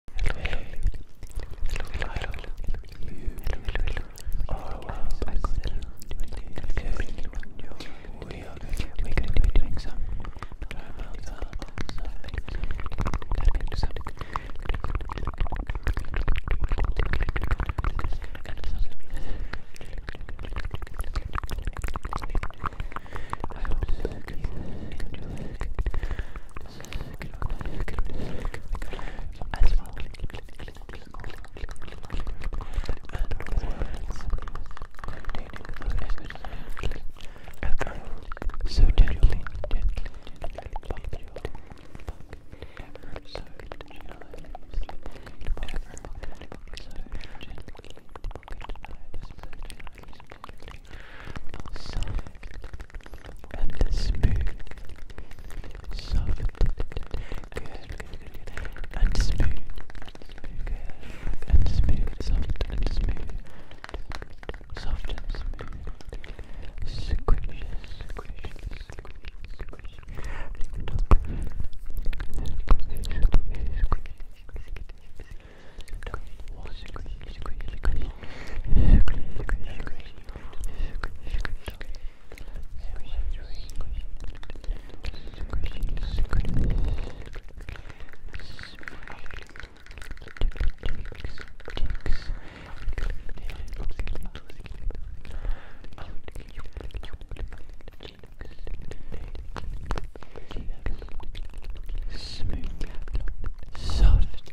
Hello, hello, hello, hello, We are going to be doing some you as well. And words containing those images echo so gently, gently, gently, pop your ever so gently, ever so gently, pocket knives, soft and smooth, soft, good, and smooth, good, and smooth, soft and smooth, soft and smooth, squish, squish, squish, squish, squish, squish, Smooth, soft,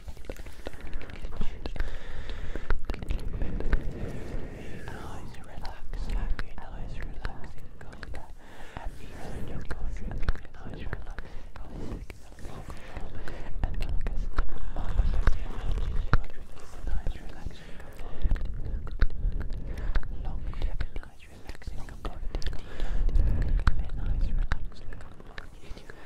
Always relax, always relax in Canada. And even in your country, you can always relax in Canada. And focus on the energy in your country, you can always relax in Canada. Long tip, always relax in Canada. Deep, always relax in Canada.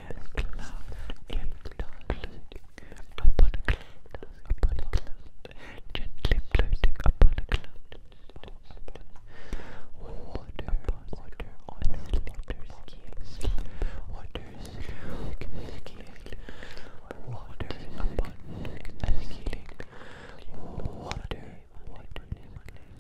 a cloud, it floating upon a cloud, upon a cloud, gently floating upon a cloud, upon water, water on slippery scales, water slick scale, water upon a slick, water, water, water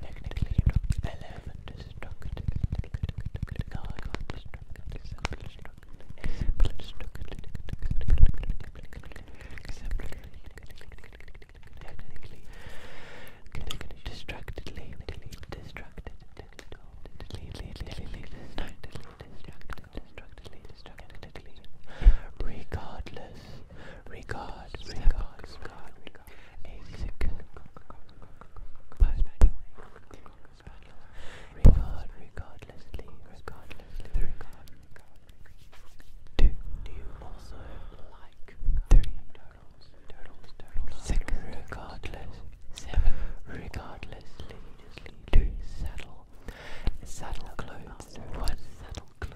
Technically, you don't eleven destructive. Destructively, destructed, destructively, destructively, regardless regard, regard, regard, regard, a sick regard, regardlessly, regardlessly, the regard, Do you also like three turtles, turtles, turtles, six regardless, seven regardlessly, two saddle, saddle clothes, one saddle clothes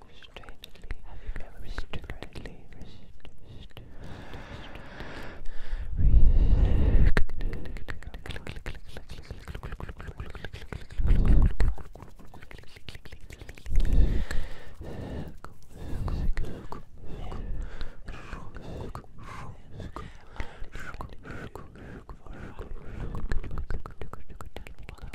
restrainedly, restrainedly,